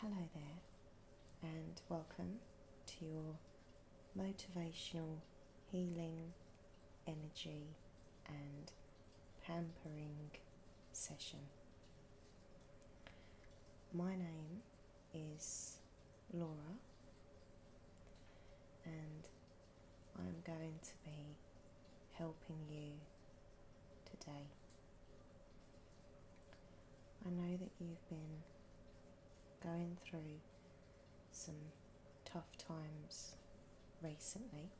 Hello there, and welcome to your motivational healing, energy, and pampering session. My name is Laura, and I'm going to be helping you today. I know that you've been going through some tough times recently,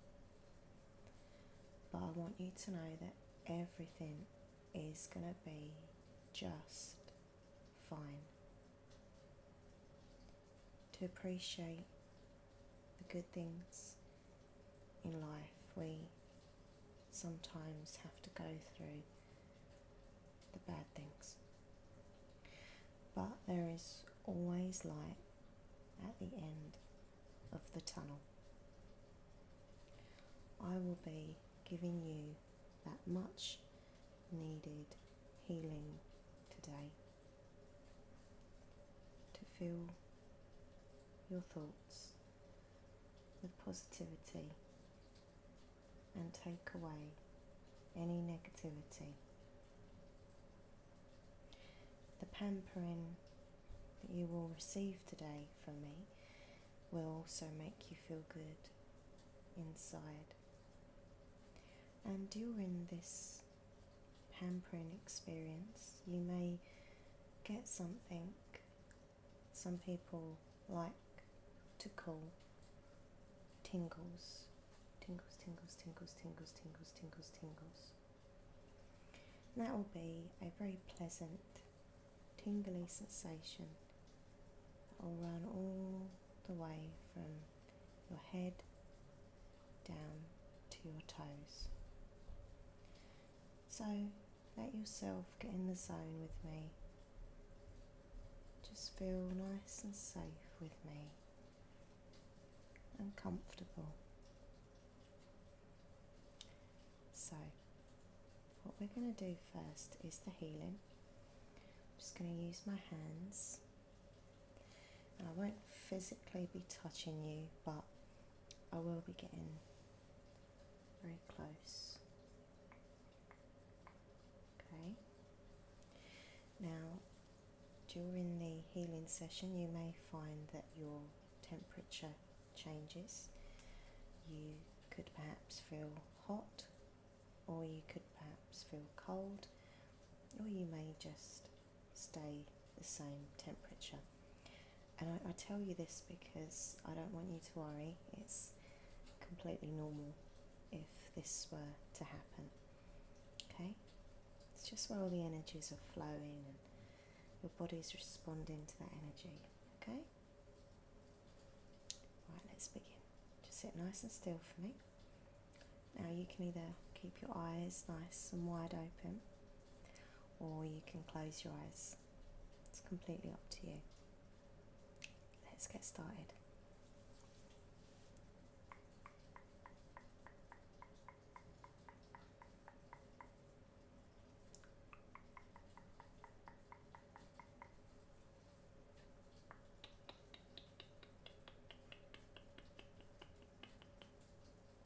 but I want you to know that everything is going to be just fine. To appreciate the good things in life, we sometimes have to go through the bad things. But there is always light at the end of the tunnel. I will be giving you that much needed healing today to fill your thoughts thoughts positivity and take away any negativity. The pampering that you will receive today from me will also make you feel good inside. And during this pampering experience. You may get something some people like to call tingles. Tingles, tingles, tingles, tingles, tingles, tingles, tingles. And that will be a very pleasant, tingly sensation that will run all the way from your head down to your toes. So let yourself get in the zone with me. Just feel nice and safe with me and comfortable. So, what we're going to do first is the healing. I'm just going to use my hands. I won't physically be touching you, but I will be getting very close. Okay. Now, during the healing session, you may find that your temperature changes. You could perhaps feel hot, or you could perhaps feel cold, or you may just stay the same temperature. And I, tell you this because I don't want you to worry, it's completely normal if this were to happen. Okay? It's just where all the energies are flowing and your body's responding to that energy. Okay? Right, let's begin. Just sit nice and still for me. Now you can either keep your eyes nice and wide open or you can close your eyes. It's completely up to you. Let's get started.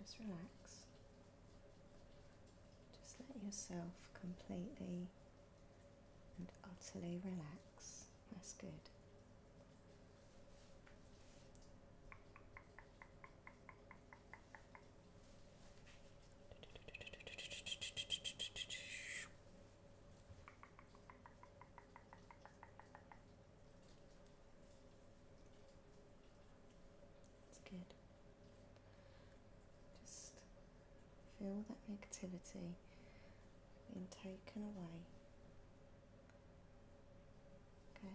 Just relax. Just let yourself completely and utterly relax. That's good. It's good. Just feel that negativity being taken away. Okay.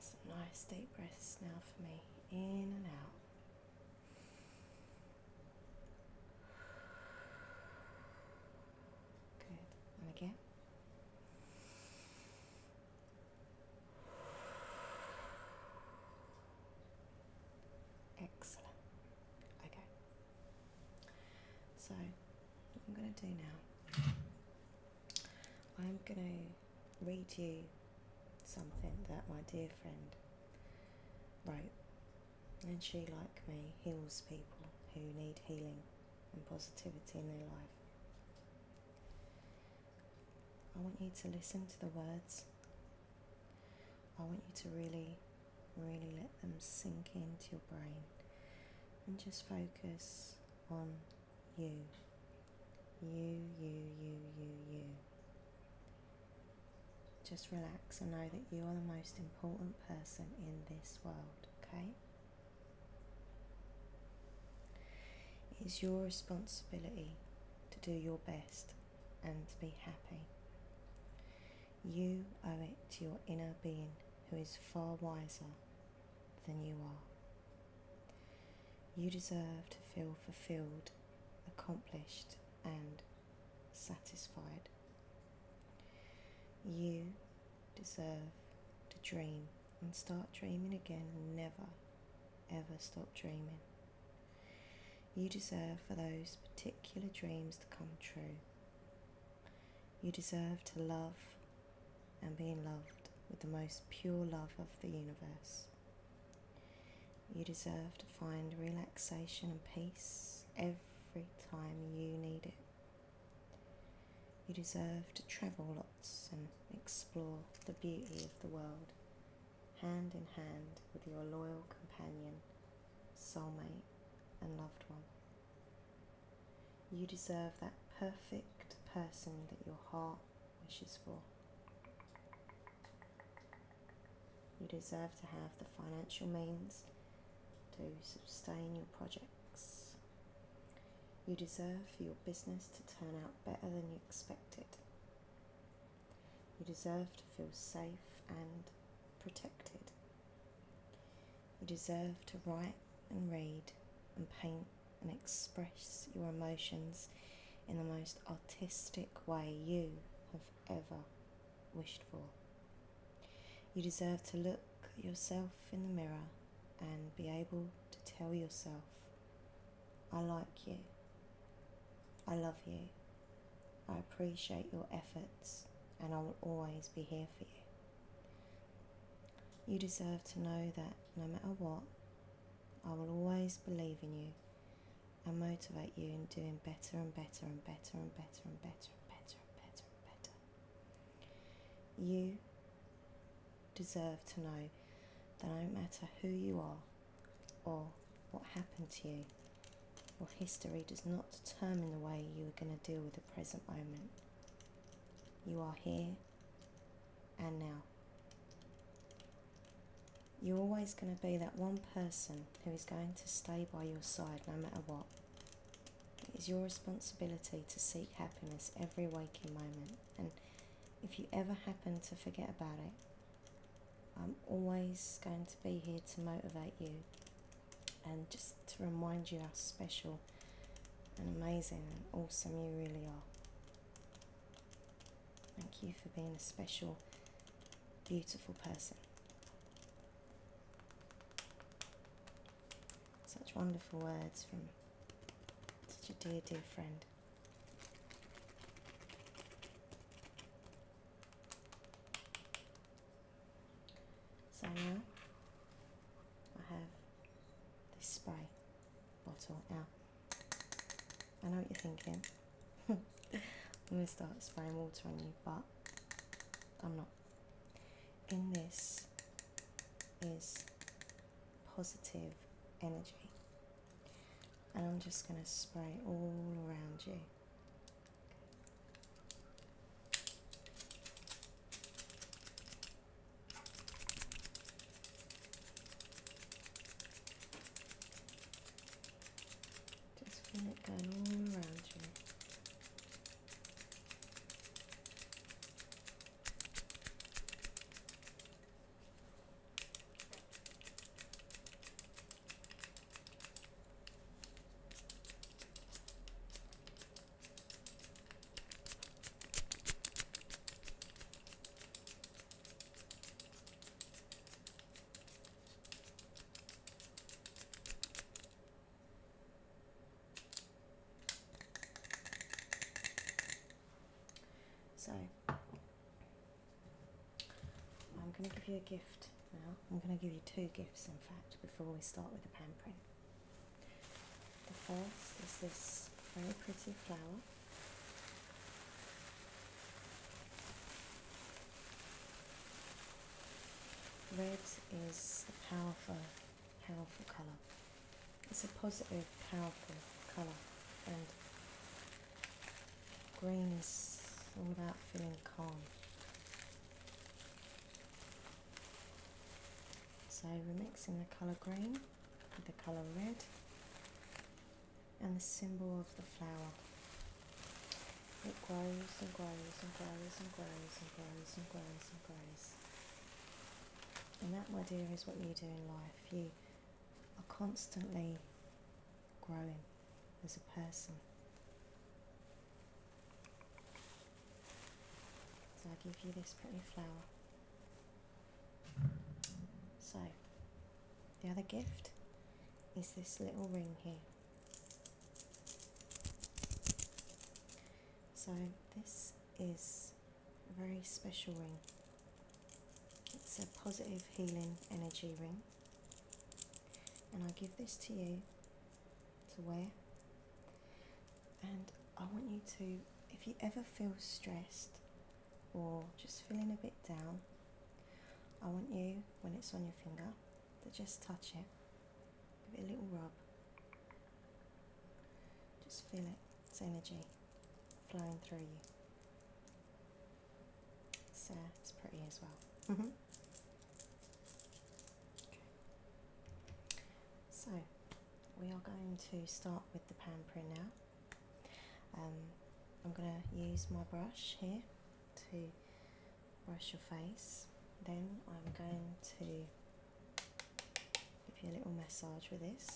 some nice deep breaths now for me, in and out. Good, and again. Excellent. Okay. So, I'm going to do now, I'm going to read you something that my dear friend wrote. And she, like me, heals people who need healing and positivity in their life. I want you to listen to the words. I want you to really, really let them sink into your brain and just focus on you. You, you, you, you, you. Just relax and know that you are the most important person in this world, okay? It is your responsibility to do your best and to be happy. You owe it to your inner being who is far wiser than you are. You deserve to feel fulfilled, accomplished, and satisfied. You deserve to dream and start dreaming again and never ever stop dreaming. You deserve for those particular dreams to come true. You deserve to love and being loved with the most pure love of the universe. You deserve to find relaxation and peace every time you need it. You deserve to travel lots and explore the beauty of the world, hand in hand with your loyal companion, soulmate, and loved one. You deserve that perfect person that your heart wishes for. You deserve to have the financial means to sustain your projects. You deserve for your business to turn out better than you expected. You deserve to feel safe and protected. You deserve to write and read and paint and express your emotions in the most artistic way you have ever wished for. You deserve to look yourself in the mirror and be able to tell yourself, I like you, I love you, I appreciate your efforts, and I will always be here for you. You deserve to know that no matter what, I will always believe in you and motivate you in doing better and better and better and better and better and better and better and better. You deserve to know that no matter who you are or what happened to you, your history does not determine the way you are going to deal with the present moment. You are here and now. You're always going to be that one person who is going to stay by your side no matter what. It is your responsibility to seek happiness every waking moment. And if you ever happen to forget about it, I'm always going to be here to motivate you and just to remind you how special and amazing and awesome you really are. Thank you for being a special, beautiful person. Such wonderful words from such a dear, dear friend. So now I have this spray bottle. Now, I know what you're thinking. I'm going to start spraying water on you, but I'm not. In this is positive energy. And I'm just going to spray all around you. Just get it done all around you. So, I'm going to give you a gift now. I'm going to give you two gifts, in fact, before we start with the print. The first is this very pretty flower. Red is a powerful, powerful colour. It's a positive, powerful colour, and green is all about feeling calm. So we're mixing the colour green with the colour red and the symbol of the flower. It grows and grows and grows and grows and grows and grows and grows. And that, my dear, is what you do in life. You are constantly growing as a person. So i give you this pretty flower. So, the other gift is this little ring here. So, this is a very special ring. It's a positive healing energy ring. And I give this to you to wear. And I want you to, if you ever feel stressed or just feeling a bit down, I want you, when it's on your finger, to just touch it, give it a little rub. Just feel it, it's energy flowing through you. So uh, it's pretty as well. Mm-hmm. So we are going to start with the pamper now. Um, I'm going to use my brush here to brush your face. Then I'm going to give you a little massage with this.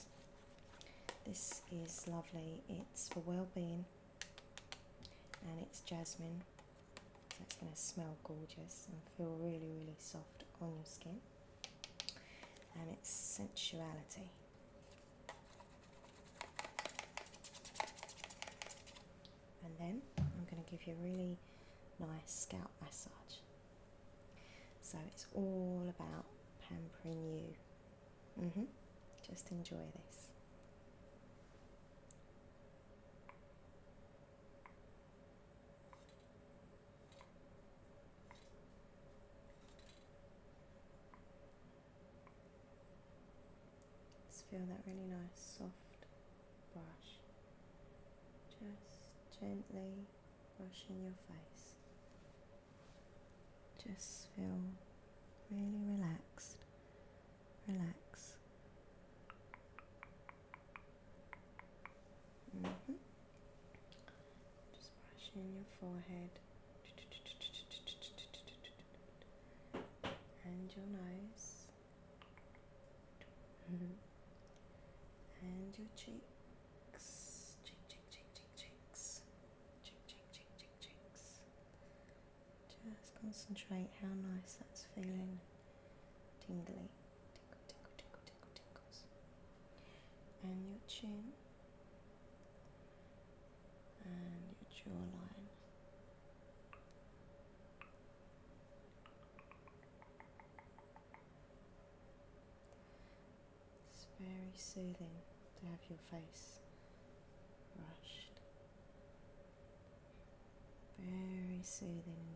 This is lovely. It's for well-being and it's jasmine so it's going to smell gorgeous and feel really, really soft on your skin. And it's sensuality. And then I'm going to give you a really nice scalp massage. So it's all about pampering you. Mm -hmm. Just enjoy this. Just feel that really nice soft brush just gently brushing your face. Just feel really relaxed relax. Mm-hmm. Just brushing your forehead and your nose mm-hmm. and your cheeks. Cheek, cheek, cheek, cheek, cheeks. cheeks. Just concentrate how nice that's feeling. Tingly. Tingle, tingle, tingle, tingle, tingles. And your chin. And your jawline. It's very soothing to have your face brushed very soothing indeed.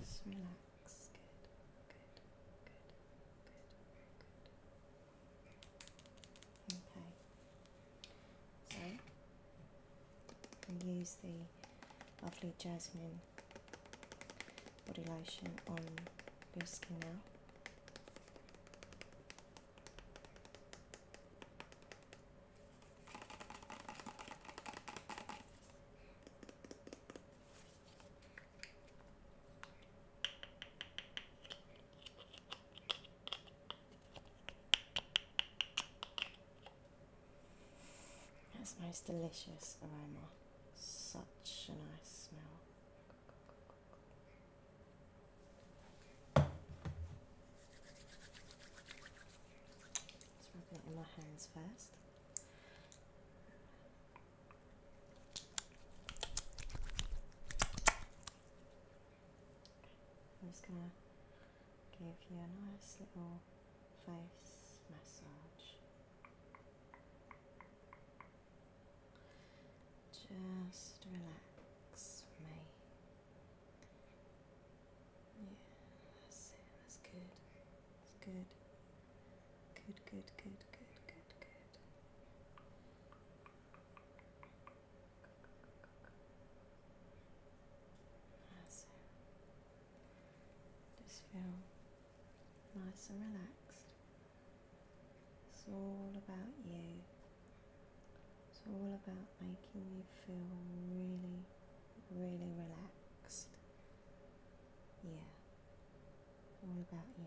Just relax. Good, good, good, good, good. Okay and use the lovely jasmine body lotion on your skin now. That most delicious aroma. Such a nice smell. Just rubbing it in my hands first. I'm just gonna give you a nice little face massage. Just relax me. Yeah, that's it, that's good. That's good. Good, good, good, good, good, good. Just feel nice and relaxed. It's all about you. It's all about making you feel really, really relaxed. Yeah. All about you.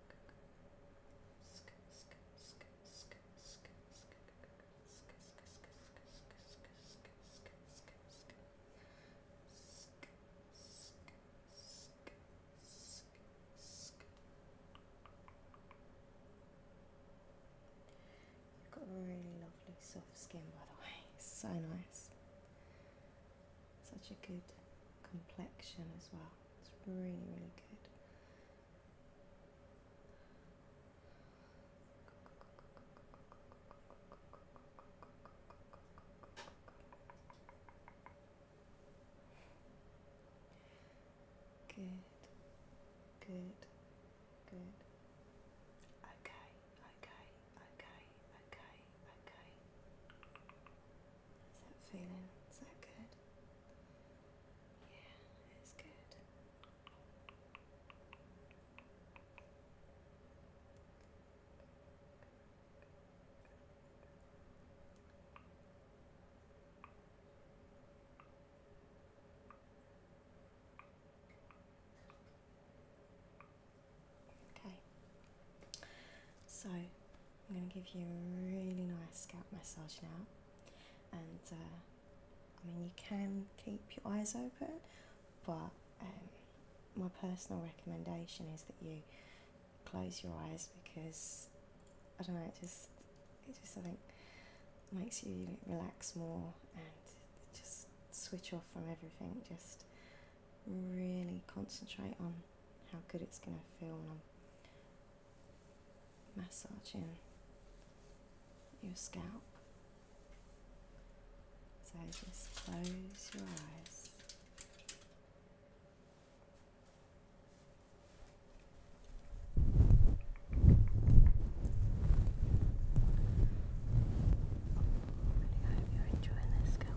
You've got a really lovely soft skin, by the way. so nice. Such a good complexion as well. It's really, really good. Good, good, good. Okay, okay, okay, okay, okay. Is that feeling? Is that good? Yeah, it's good. Okay, so I'm going to give you a really nice scalp massage now. And uh, I mean, you can keep your eyes open, but um, my personal recommendation is that you close your eyes because I don't know, it just, it just I think makes you relax more and just switch off from everything. Just really concentrate on how good it's going to feel when I'm massaging your scalp. So just close your eyes. And hope you're enjoying this, guys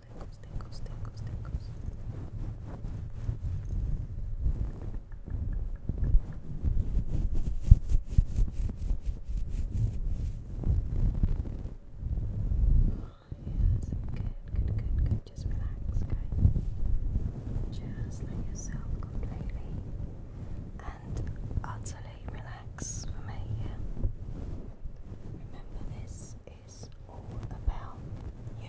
tingles, tingles, tingles, tingles. Yes, good, good, good, good. Just relax, guys. Just let yourself completely and utterly relax for me, yeah? Remember this is all about you.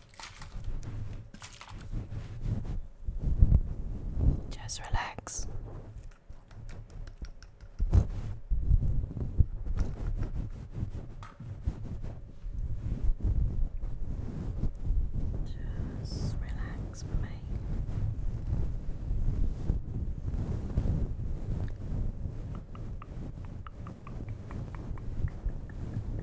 Just relax. Just relax, mate.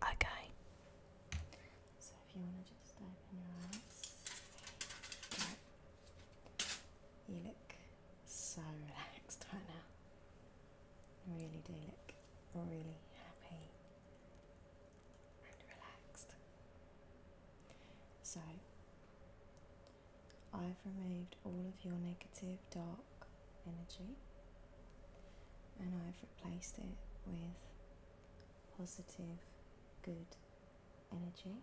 Okay. So if you want to just open your eyes, you look so relaxed right now really do look really happy and relaxed. So, I've removed all of your negative dark energy and I've replaced it with positive good energy.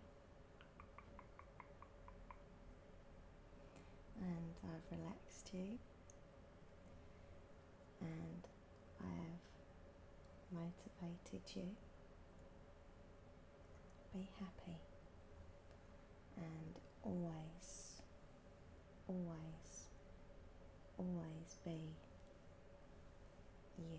And I've relaxed you and I have motivated you. Be happy and always, always, always be you.